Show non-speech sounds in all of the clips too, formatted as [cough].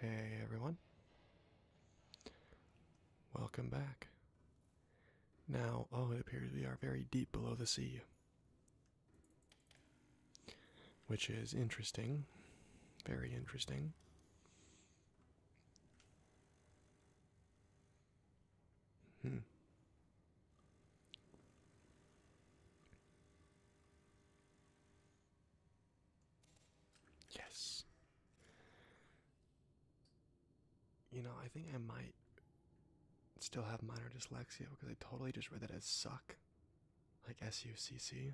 Hey everyone. Welcome back. Now, oh, it appears we are very deep below the sea. Which is interesting. Very interesting. Hmm. Yes. You know, I think I might still have minor dyslexia because I totally just read that as suck. Like I C C.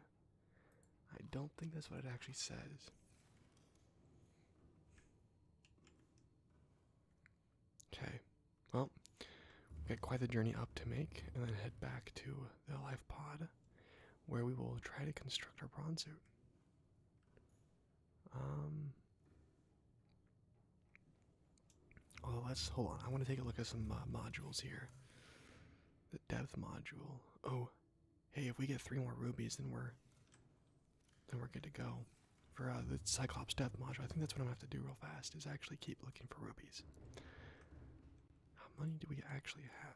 I don't think that's what it actually says. Okay, well, we've got quite the journey up to make, and then head back to the life pod, where we will try to construct our prawn suit. Um. Oh, let's hold on, I want to take a look at some uh, modules here. The depth module. Oh, hey, if we get three more rubies, then we're and we're good to go. For uh, the Cyclops death module, I think that's what I'm gonna have to do real fast is actually keep looking for rubies. How many do we actually have?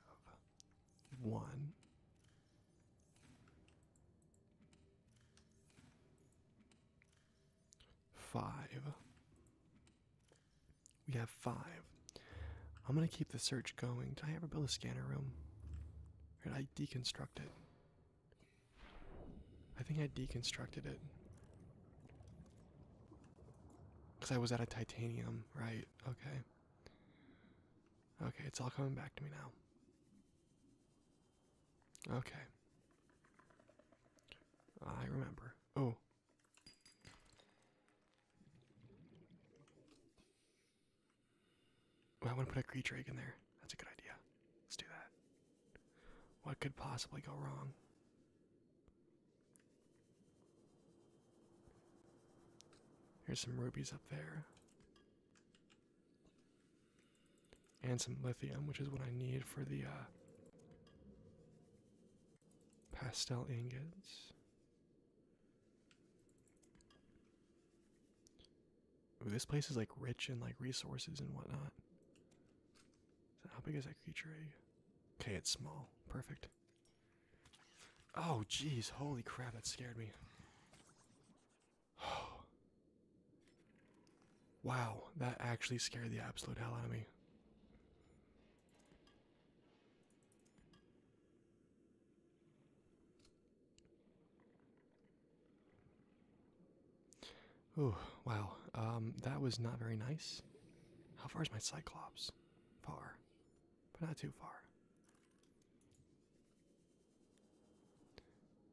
One. Five. We have five. I'm gonna keep the search going. Did I ever build a scanner room? Or I deconstruct it? I think I deconstructed it. Because I was at a titanium, right? Okay. Okay, it's all coming back to me now. Okay. I remember. Oh. I want to put a creature egg in there. That's a good idea let's do that. What could possibly go wrong? Here's some rubies up there. And some lithium, which is what I need for the uh, pastel ingots this place is like rich in like resources and whatnot. how big is that creature Okay, it's small. Perfect. Oh, jeez. Holy crap, that scared me. [sighs] wow, that actually scared the absolute hell out of me. Oh, wow. Um, that was not very nice. How far is my Cyclops? Far, but not too far.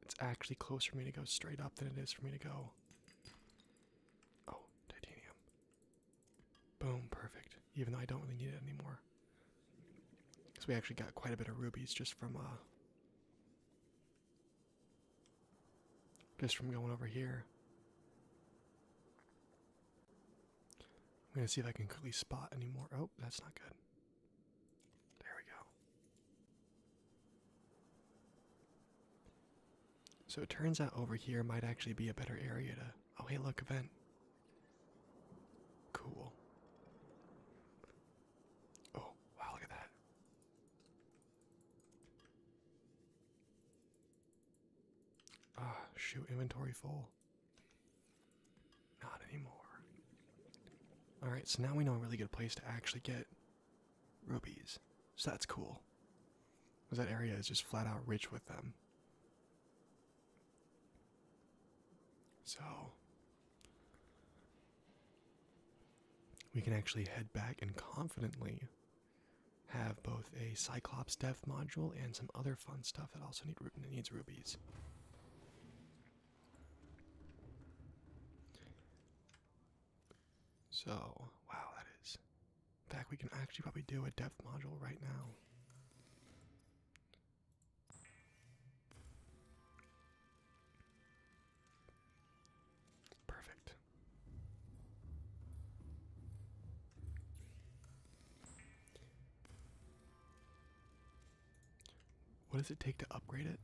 It's actually close for me to go straight up than it is for me to go. Oh, titanium. Boom, perfect. Even though I don't really need it anymore. Because we actually got quite a bit of rubies just from uh, just from going over here. I'm going to see if I can quickly spot anymore. Oh, that's not good. There we go. So it turns out over here might actually be a better area to. Oh, hey, look, event. Cool. Oh, wow, look at that. Ah, shoot, inventory full. Not anymore. Alright, so now we know a really good place to actually get rubies. So that's cool. Because that area is just flat out rich with them. So, we can actually head back and confidently have both a Cyclops Death module and some other fun stuff that also need, needs rubies. So, wow, that is. In fact, we can actually probably do a depth module right now. Perfect. What does it take to upgrade it?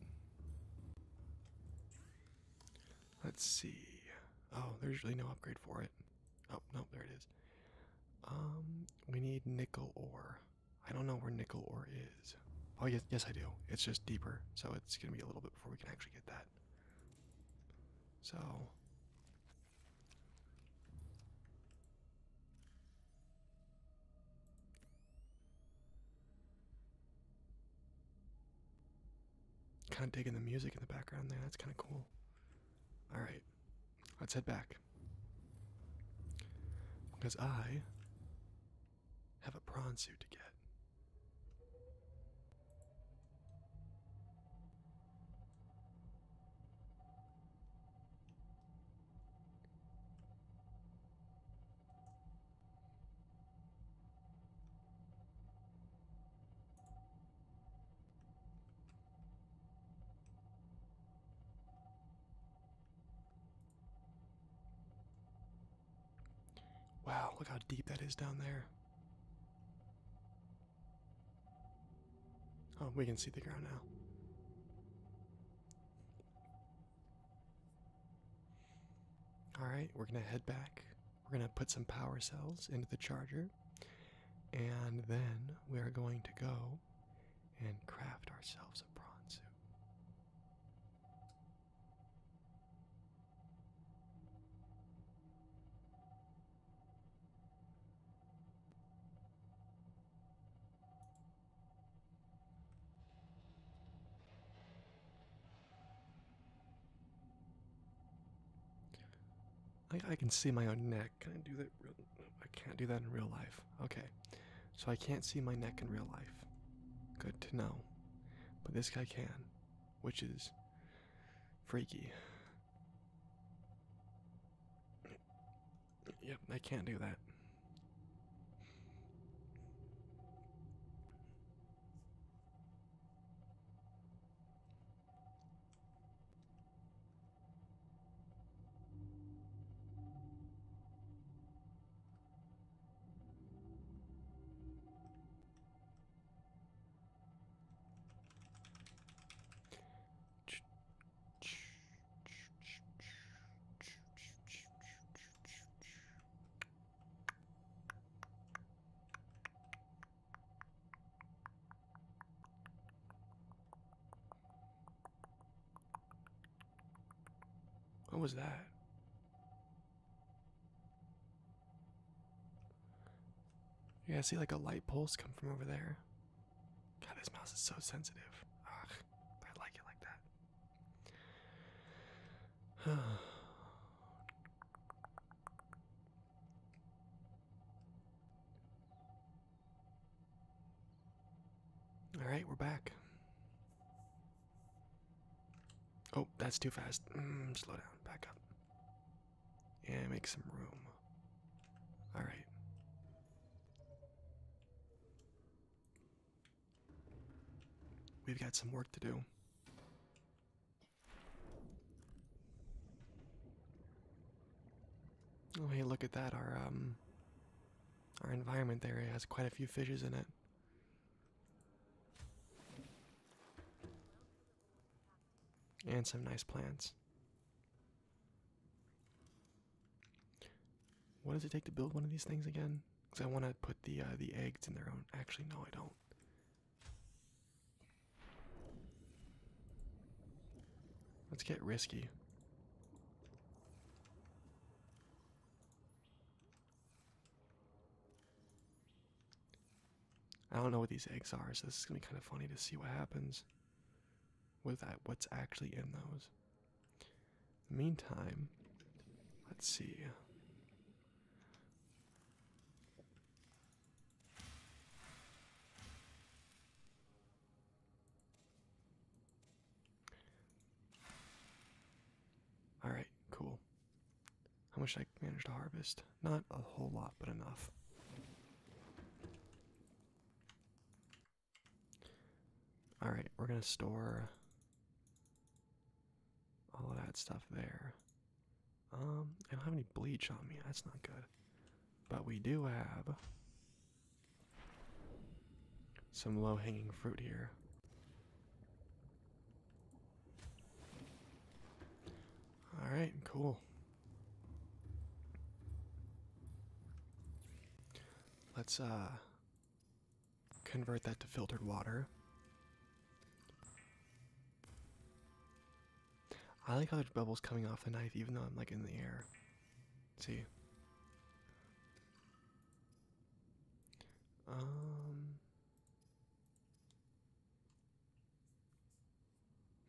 Let's see. Oh, there's really no upgrade for it. Oh, no, there it is. Um, we need nickel ore. I don't know where nickel ore is. Oh, yes, yes, I do. It's just deeper, so it's gonna be a little bit before we can actually get that. So Kind of digging the music in the background there. That's kind of cool. All right, let's head back because I have a prawn suit to get. Wow, look how deep that is down there. Oh, we can see the ground now. Alright, we're going to head back. We're going to put some power cells into the charger. And then we are going to go and craft ourselves a prawn suit. I, can see my own neck. Can I do that? I can't do that in real life. Okay, so I can't see my neck in real life. Good to know. But this guy can which is freaky. Yep, I can't do that. What was that? Yeah, I see like a light pulse come from over there. God, this mouse is so sensitive. I like it like that. [sighs] All right, we're back. Oh, that's too fast. Mm, slow down. Back up. Yeah, make some room. All right. We've got some work to do. Oh, hey, look at that. Our um our environment area has quite a few fishes in it and some nice plants. What does it take to build one of these things again? Because I want to put the uh, the eggs in their own. Actually, no, I don't. Let's get risky. I don't know what these eggs are, so this is gonna be kind of funny to see what happens with that. What's actually in those? In the meantime, let's see. All right, cool. How much I managed to harvest? Not a whole lot, but enough. Alright, we're gonna store all of that stuff there. Um, I don't have any bleach on me, that's not good. But we do have some low hanging fruit here. All right, cool. Let's uh convert that to filtered water. I like how there's bubbles coming off the knife even though I'm like in the air. see. Um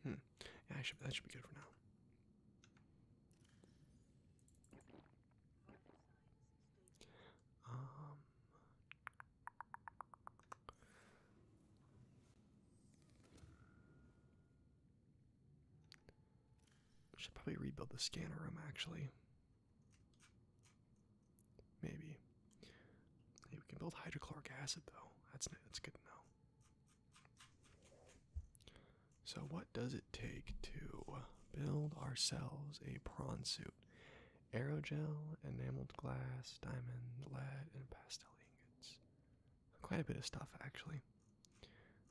Hmm. Yeah, that should be good for now. Um. Should probably rebuild the scanner room actually. Maybe. we can build hydrochloric acid though. That's that's good to know. So, what does it take to build ourselves a prawn suit? Aerogel, enameled glass, diamond, lead, and pastel ingots. Quite a bit of stuff, actually.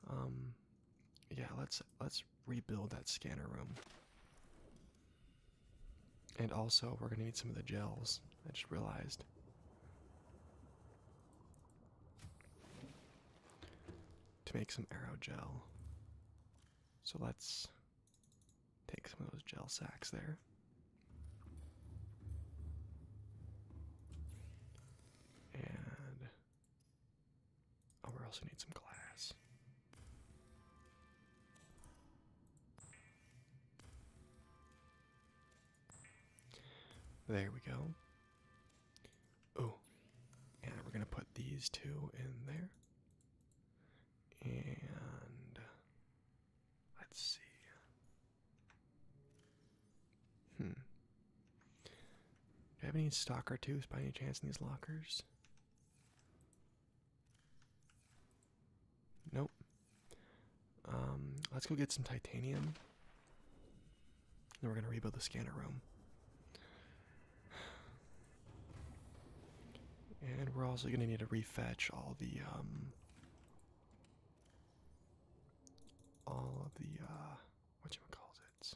Um, yeah, let's let's rebuild that scanner room. And also, we're going to need some of the gels. I just realized. To make some arrow gel. So let's take some of those gel sacks there. And. Oh, we also need some glass. There we go. Oh, and we're going to put these two in there. And let's see. Hmm. Do I have any stock or two by any chance in these lockers? Nope. Um, let's go get some titanium. Then we're gonna rebuild the scanner room. And we're also gonna need to refetch all the um, all of the uh whatchamacallit.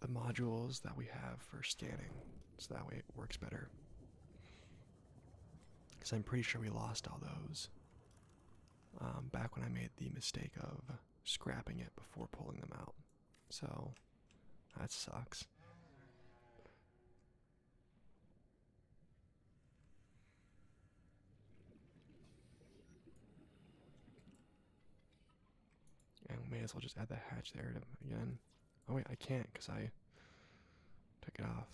The modules that we have for scanning so that way it works better. Because I'm pretty sure we lost all those um, back when I made the mistake of scrapping it before pulling them out. So that sucks. I may as well just add the hatch there again. Oh wait, I can't because I took it off.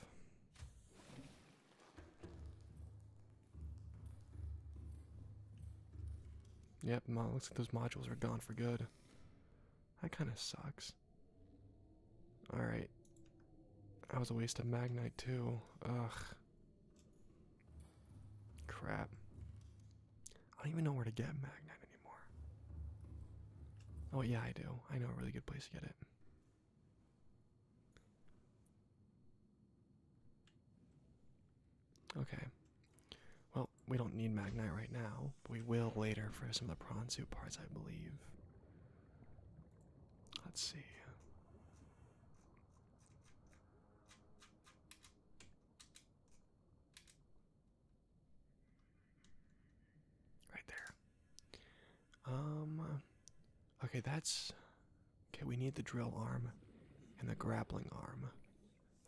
Yep, looks like those modules are gone for good. That kind of sucks. Alright. That was a waste of Magnite too. Ugh. Crap. I don't even know where to get Magnite Oh, yeah, I do. I know a really good place to get it. Okay. Well, we don't need Magnite right now. we will later for some of the prawn soup parts, I believe. Let's see. Right there. Um. Okay, that's. Okay, we need the drill arm and the grappling arm.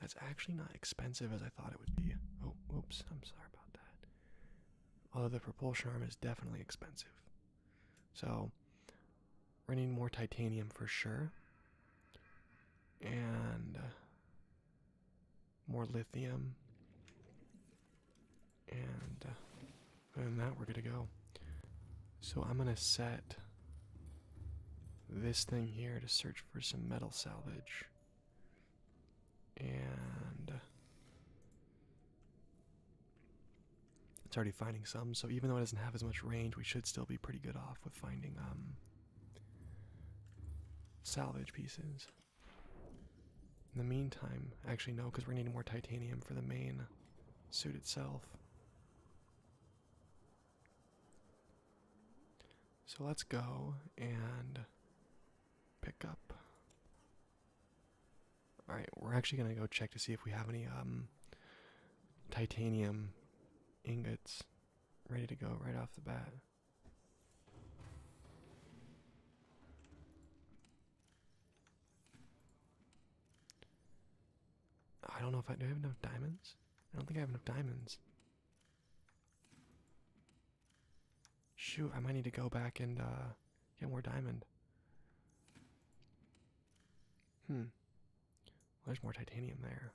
That's actually not expensive as I thought it would be. Oh, oops, I'm sorry about that. Although the propulsion arm is definitely expensive. So, we're going need more titanium for sure. And more lithium. And uh, and that we're gonna go. So I'm gonna set this thing here to search for some metal salvage. And uh, it's already finding some, so even though it doesn't have as much range, we should still be pretty good off with finding um salvage pieces. In the meantime, actually, no, because we're needing more titanium for the main suit itself. So let's go and pick up. Alright, we're actually going to go check to see if we have any um, titanium ingots ready to go right off the bat. I don't know if I do I have enough diamonds. I don't think I have enough diamonds. Shoot, I might need to go back and uh, get more diamond. Hmm. there's more titanium there.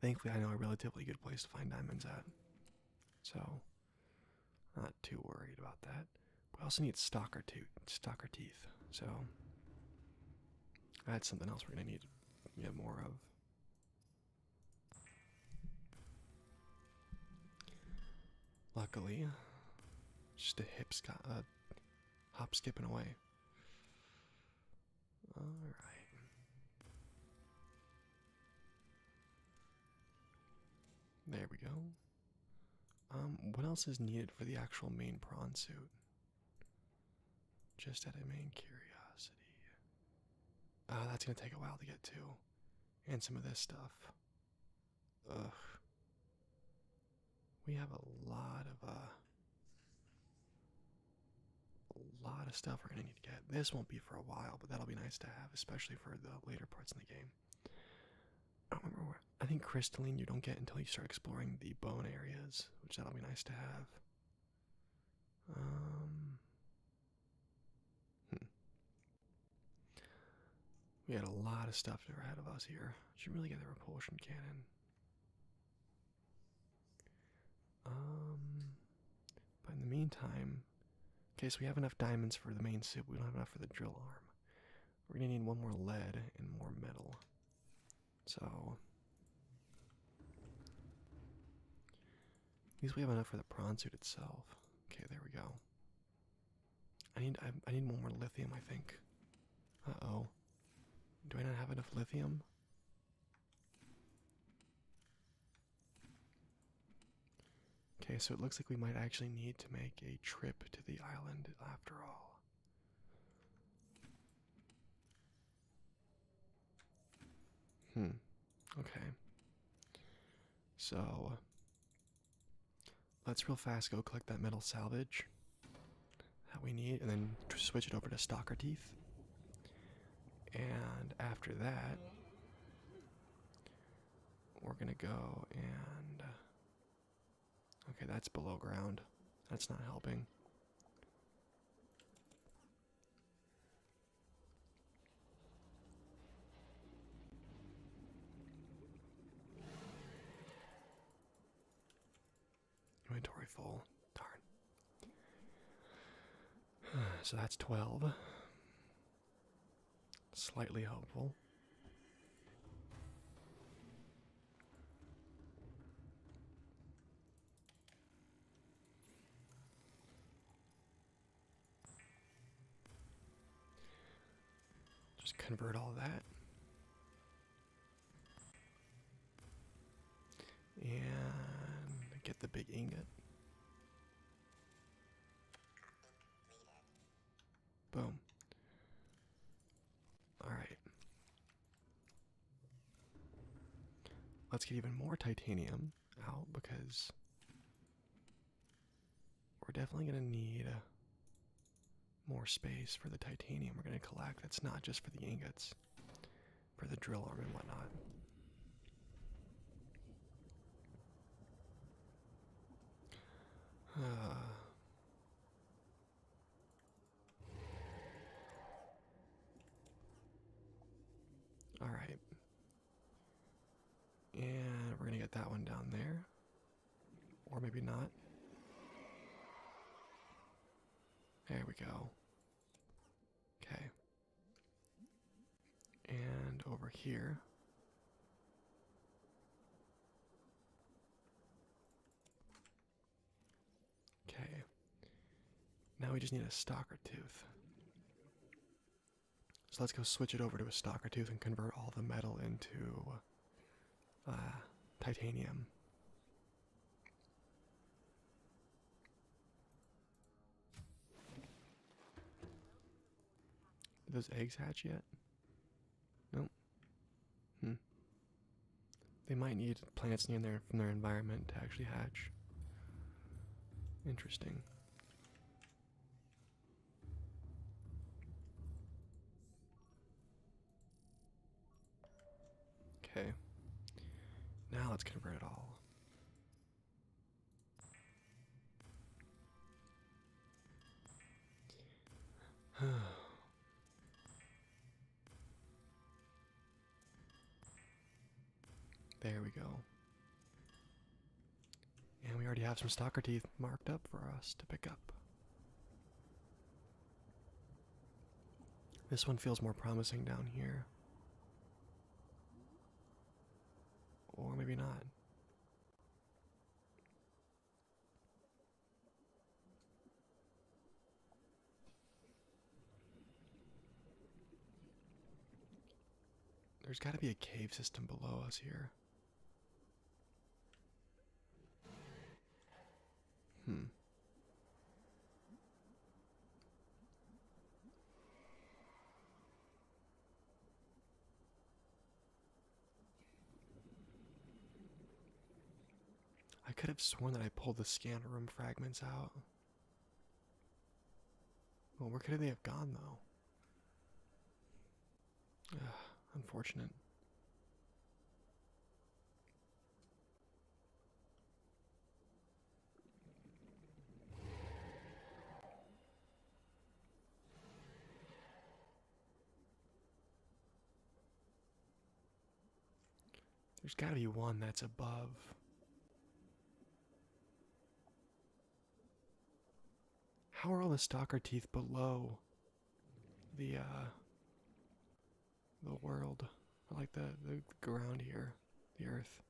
Thankfully, I know a relatively good place to find diamonds at, so not too worried about that. We also need stalker, to stalker teeth, so that's something else we're gonna need yeah, more of. Luckily, just a hip uh, hop skipping away. All right. There we go. Um, what else is needed for the actual main prawn suit? Just out of main curiosity. Uh, that's gonna take a while to get to. And some of this stuff. Ugh. We have a lot of, uh, a lot of stuff we're gonna need to get. This won't be for a while, but that'll be nice to have, especially for the later parts in the game. I don't remember where. I think crystalline you don't get until you start exploring the bone areas, which that'll be nice to have. Um, hmm. We had a lot of stuff ahead of us here. Should really get the repulsion cannon. Um, but in the meantime, okay, so we have enough diamonds for the main suit. We don't have enough for the drill arm. We're gonna need one more lead and more metal. So, at least we have enough for the prawn suit itself. Okay, there we go. I need I, I need one more lithium, I think. Uh oh. Do I not have enough lithium? Okay, so it looks like we might actually need to make a trip to the island after all. Hmm. Okay. So let's real fast go collect that metal salvage that we need and then switch it over to stalker teeth. And after that, we're going to go and. Okay, that's below ground. That's not helping. Inventory full. Darn. [sighs] So that's 12. Slightly hopeful. Just convert all that. And get the big ingot. Boom. Alright. Let's get even more titanium out because we're definitely going to need more space for the titanium we're going to collect. That's not just for the ingots for the drill arm and whatnot. [sighs] all right. And we're going to get that one down there. Or maybe not. There we go. Okay. And over here. Okay. Now we just need a stalker tooth. So let's go switch it over to a stalker tooth and convert all the metal into uh, titanium those eggs hatch yet? Nope. Hmm. They might need plants near their from their environment to actually hatch. Interesting. Okay. Now let's convert it all. [sighs] there we go. And we already have some stalker teeth marked up for us to pick up. This one feels more promising down here. Or maybe not. There's got to be a cave system below us here. Hmm. I could have sworn that I pulled the scanner room fragments out. Well, where could they have gone, though? Ugh, unfortunate. There's got to be one that's above. How are all the stalker teeth below the uh the world? like the the ground here, the earth.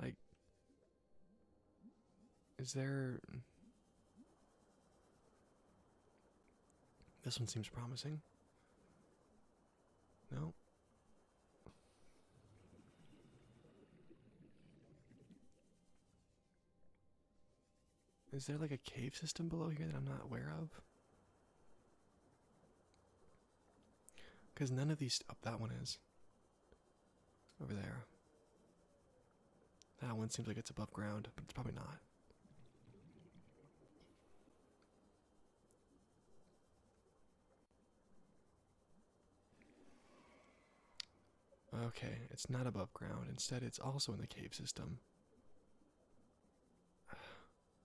Like, is there. This one seems promising. No? Is there like a cave system below here that I'm not aware of? Because none of these. up that one is. Over there. That one seems like it's above ground, but it's probably not. Okay, it's not above ground. Instead, it's also in the cave system.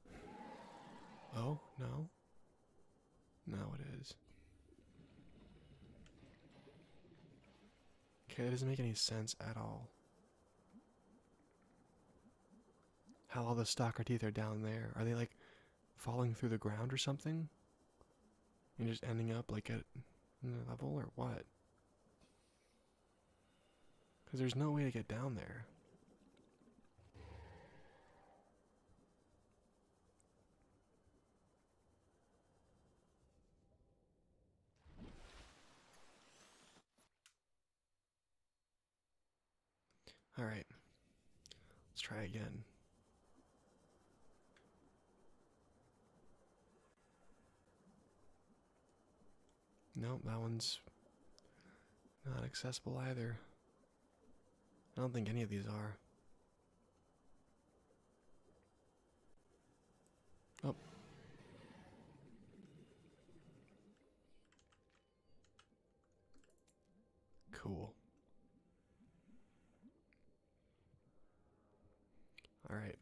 [sighs] Oh, no. Now it is. Okay, that doesn't make any sense at all. How all the stalker teeth are down there. Are they like falling through the ground or something? And just ending up like at another level or what? Because there's no way to get down there. All right, let's try again. No, that one's not accessible either. I don't think any of these are. Oh. Cool. All right.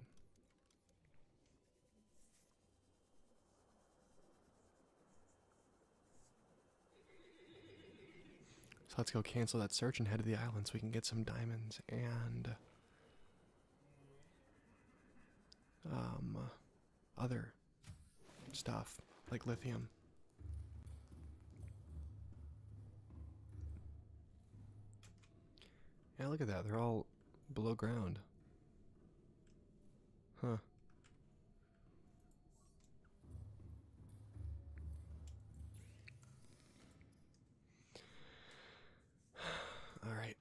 So let's go cancel that search and head to the island so we can get some diamonds and um other stuff like lithium. Yeah, look at that. They're all below ground. Huh. All right.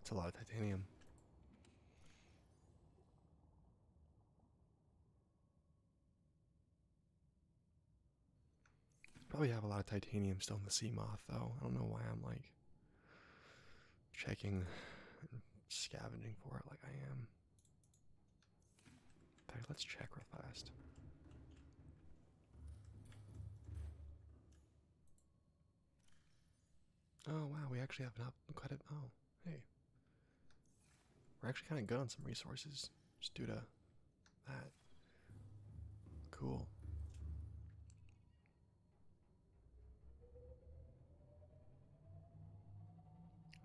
It's a lot of titanium. Probably have a lot of titanium still in the sea moth, though. I don't know why I'm like checking and scavenging for it like I am. In let's check real fast. Oh wow, we actually have not quite a oh hey, we're actually kind of good on some resources just due to that. Cool.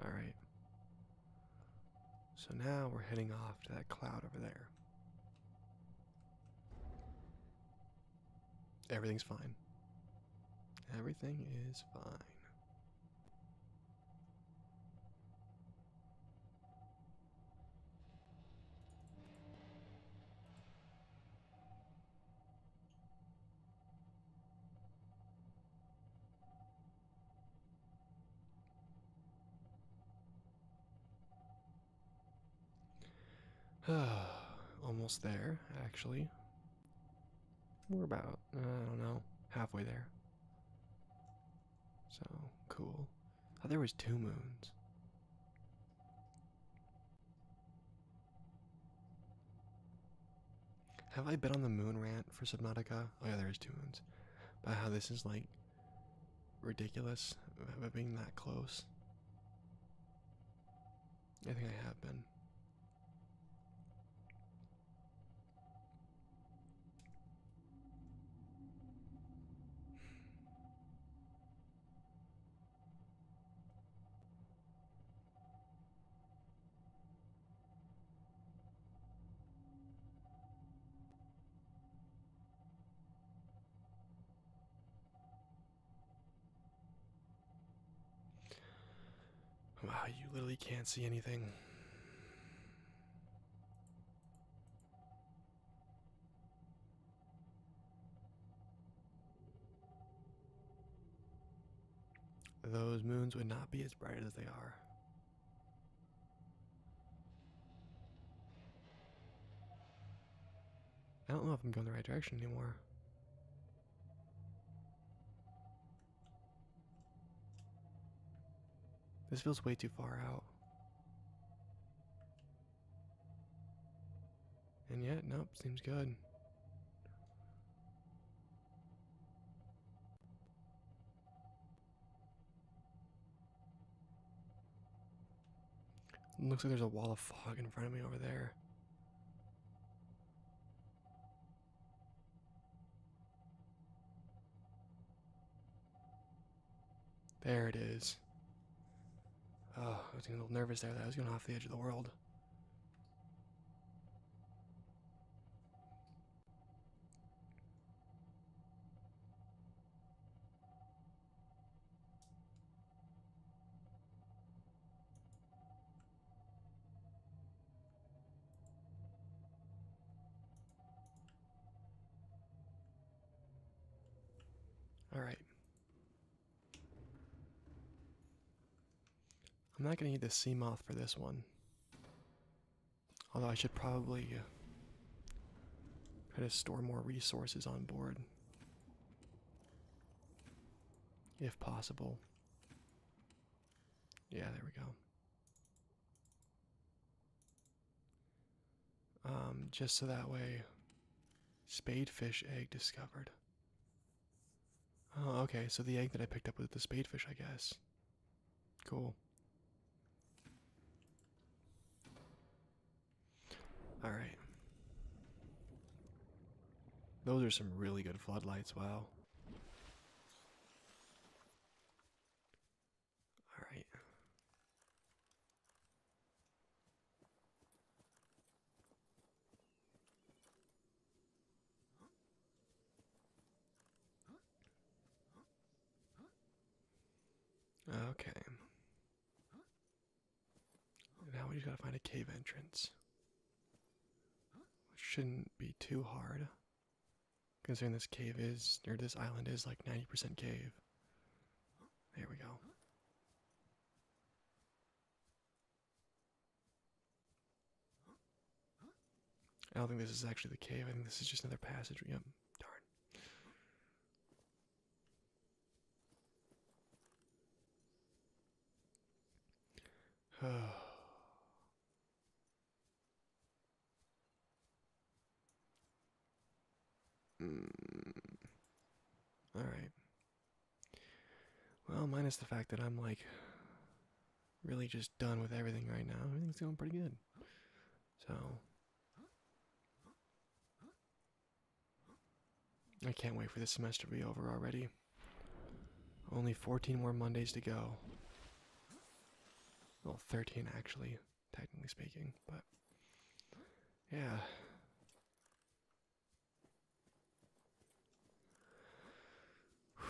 All right. So now we're heading off to that cloud over there. Everything's fine. Everything is fine. [sighs] Almost there, actually. We're about, uh, I don't know, halfway there. So cool. Oh, there was two moons. Have I been on the moon rant for Subnautica? Oh yeah, there is two moons. But how this is like ridiculous of uh, it being that close. I think I have been. Wow, you literally can't see anything. Those moons would not be as bright as they are. I don't know if I'm going the right direction anymore. This feels way too far out. And yet, nope, seems good. Looks like there's a wall of fog in front of me over there. There it is. Oh, I was getting a little nervous there. That I was going off the edge of the world. All right. I'm not going to need the sea moth for this one. Although I should probably uh, try to store more resources on board. If possible. Yeah, there we go. Um, just so that way, spadefish egg discovered. Oh, okay, so the egg that I picked up was the spadefish, I guess. Cool. Alright. Those are some really good floodlights, wow. All right. Okay. Now we just gotta find a cave entrance. Shouldn't be too hard. Considering this cave is, near this island is like 90% cave. There we go. I don't think this is actually the cave. I think this is just another passage. Yep, darn. [sighs] [sighs] Hmm. All right. Well, minus the fact that I'm like really just done with everything right now. Everything's going pretty good. So I can't wait for this semester to be over already. Only 14 more Mondays to go. Well, 13 actually technically speaking, but yeah. [sighs]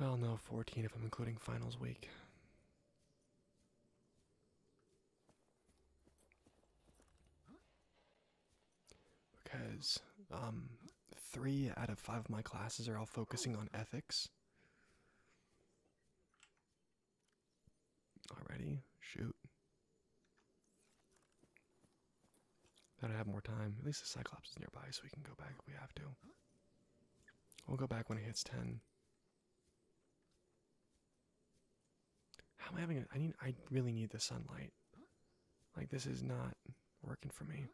Well, no, 14 if I'm including finals week. Because um, three out of five of my classes are all focusing on ethics. Already? Shoot. Gotta have more time. At least the Cyclops is nearby, so we can go back if we have to. We'll go back when it hits 10. How am I having a, I need I really need the sunlight. Like this is not working for me.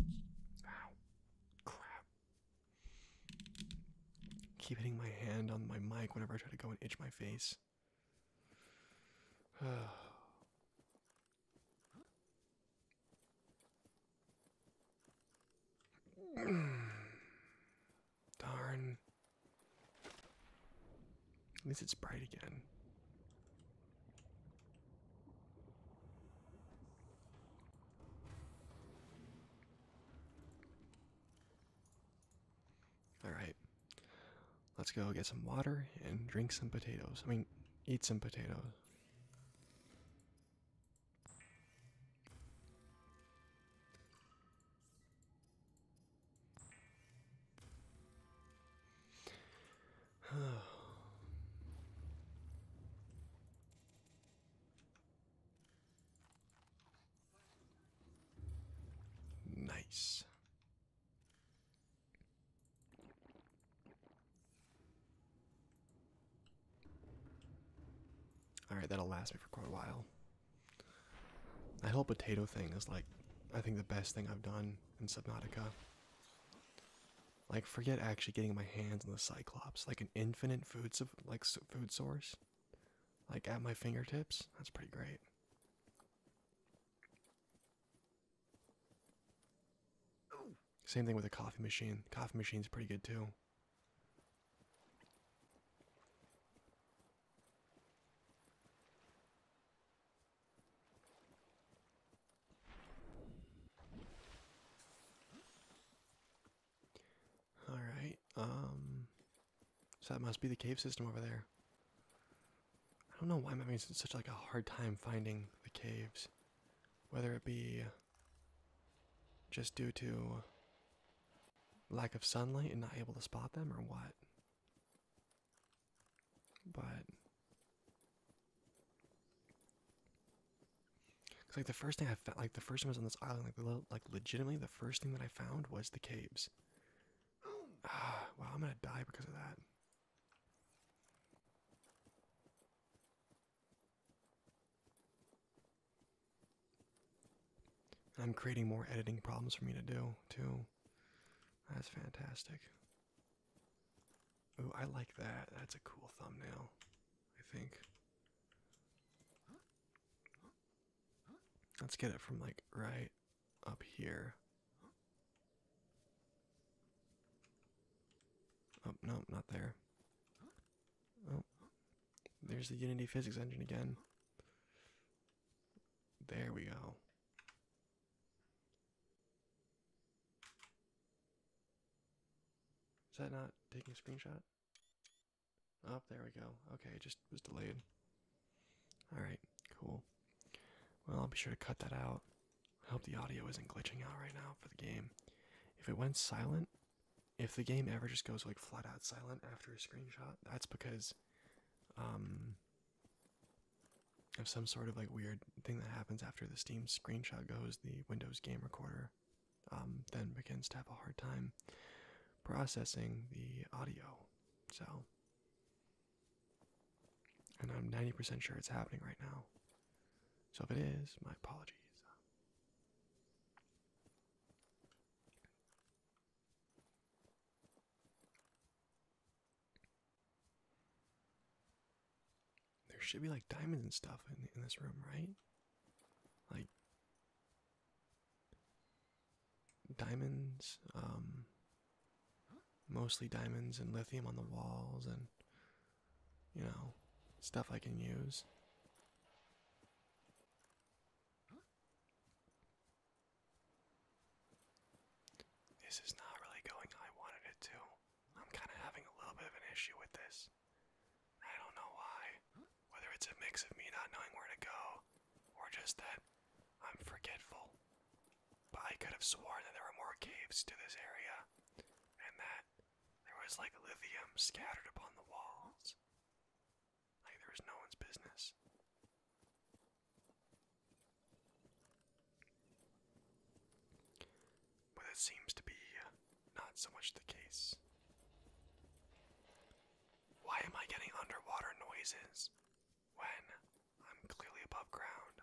Ow. Crap. Keep hitting my hand on my mic whenever I try to go and itch my face. [sighs] Darn. At least it's bright again. All right, let's go get some water and drink some potatoes. I mean, eat some potatoes. [sighs] nice. Alright, that'll last me for quite a while. That whole potato thing is like, I think, the best thing I've done in Subnautica. Like forget actually getting my hands on the Cyclops, like an infinite food like food source, like at my fingertips. That's pretty great. Same thing with a coffee machine. Coffee machine's pretty good too. All right. Um, so that must be the cave system over there. I don't know why I'm having such like a hard time finding the caves, whether it be just due to lack of sunlight and not able to spot them or what. But Cause like the first thing I found, like the first time I was on this island, like like legitimately the first thing that I found was the caves. Ah, [gasps] [sighs] wow, I'm gonna die because of that. I'm creating more editing problems for me to do too. That's fantastic. Oh, I like that. That's a cool thumbnail, I think. Let's get it from like right up here. Oh, no, not there. Oh, there's the Unity physics engine again. There we go. Is that not taking a screenshot? Oh, there we go. Okay, it just was delayed. Alright, cool. Well, I'll be sure to cut that out. I hope the audio isn't glitching out right now for the game. If it went silent, if the game ever just goes like flat out silent after a screenshot, that's because um, of some sort of like weird thing that happens after the Steam screenshot goes, the Windows game recorder um, then begins to have a hard time processing the audio. So, and I'm 90% sure it's happening right now. So, if it is, my apologies there should be like diamonds and stuff in, in this room, right? Like diamonds, um, mostly diamonds and lithium on the walls, and you know, stuff I can use. This is not really going I wanted it to. I'm kind of having a little bit of an issue with this. I don't know why. Whether it's a mix of me not knowing where to go, or just that I'm forgetful. But I could have sworn that there were more caves to this area, and that there was like lithium scattered upon the walls. Like there was no one's business but that seems to be uh, not so much the case. Why am I getting underwater noises when I'm clearly above ground?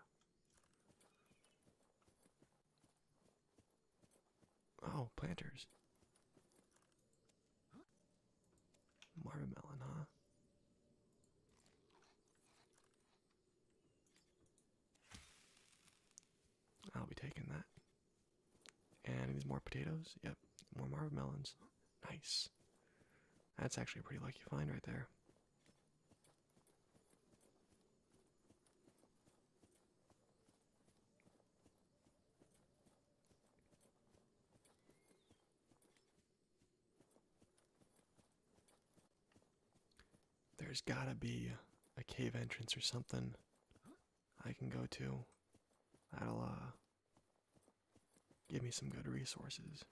Oh, planters. Marvin huh? I'll be taking that. And these more potatoes. Yep, more melons. Nice. That's actually a pretty lucky find right there. There's gotta be a cave entrance or something I can go to. That'll, uh, give me some good resources.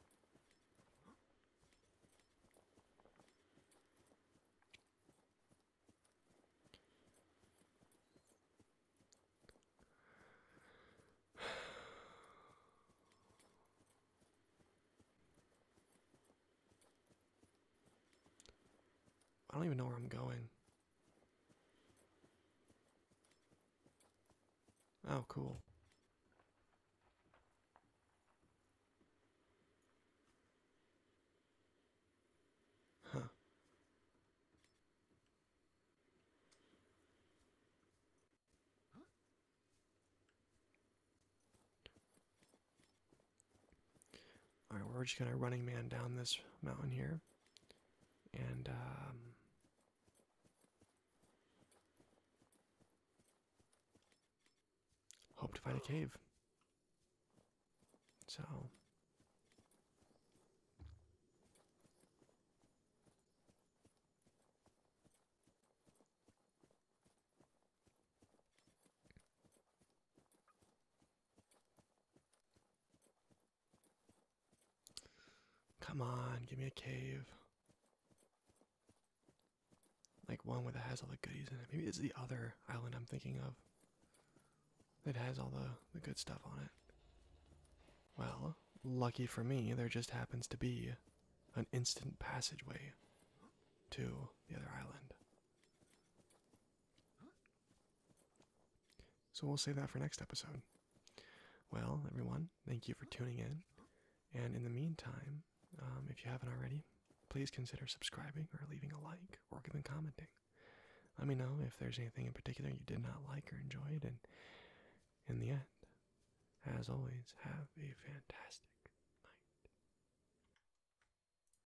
I don't even know where I'm going. Oh, cool. Huh. All right, we're just gonna running man down this mountain here, and um, hope to find a cave. So. Come on, give me a cave. Like one with that has all the goodies in it. Maybe it's the other island I'm thinking of. That has all the, the good stuff on it. Well, lucky for me, there just happens to be an instant passageway to the other island. So we'll save that for next episode. Well, everyone, thank you for tuning in. And in the meantime, um, if you haven't already, please consider subscribing or leaving a like or even commenting. Let me know if there's anything in particular you did not like or enjoyed. And in the end, as always, have a fantastic night.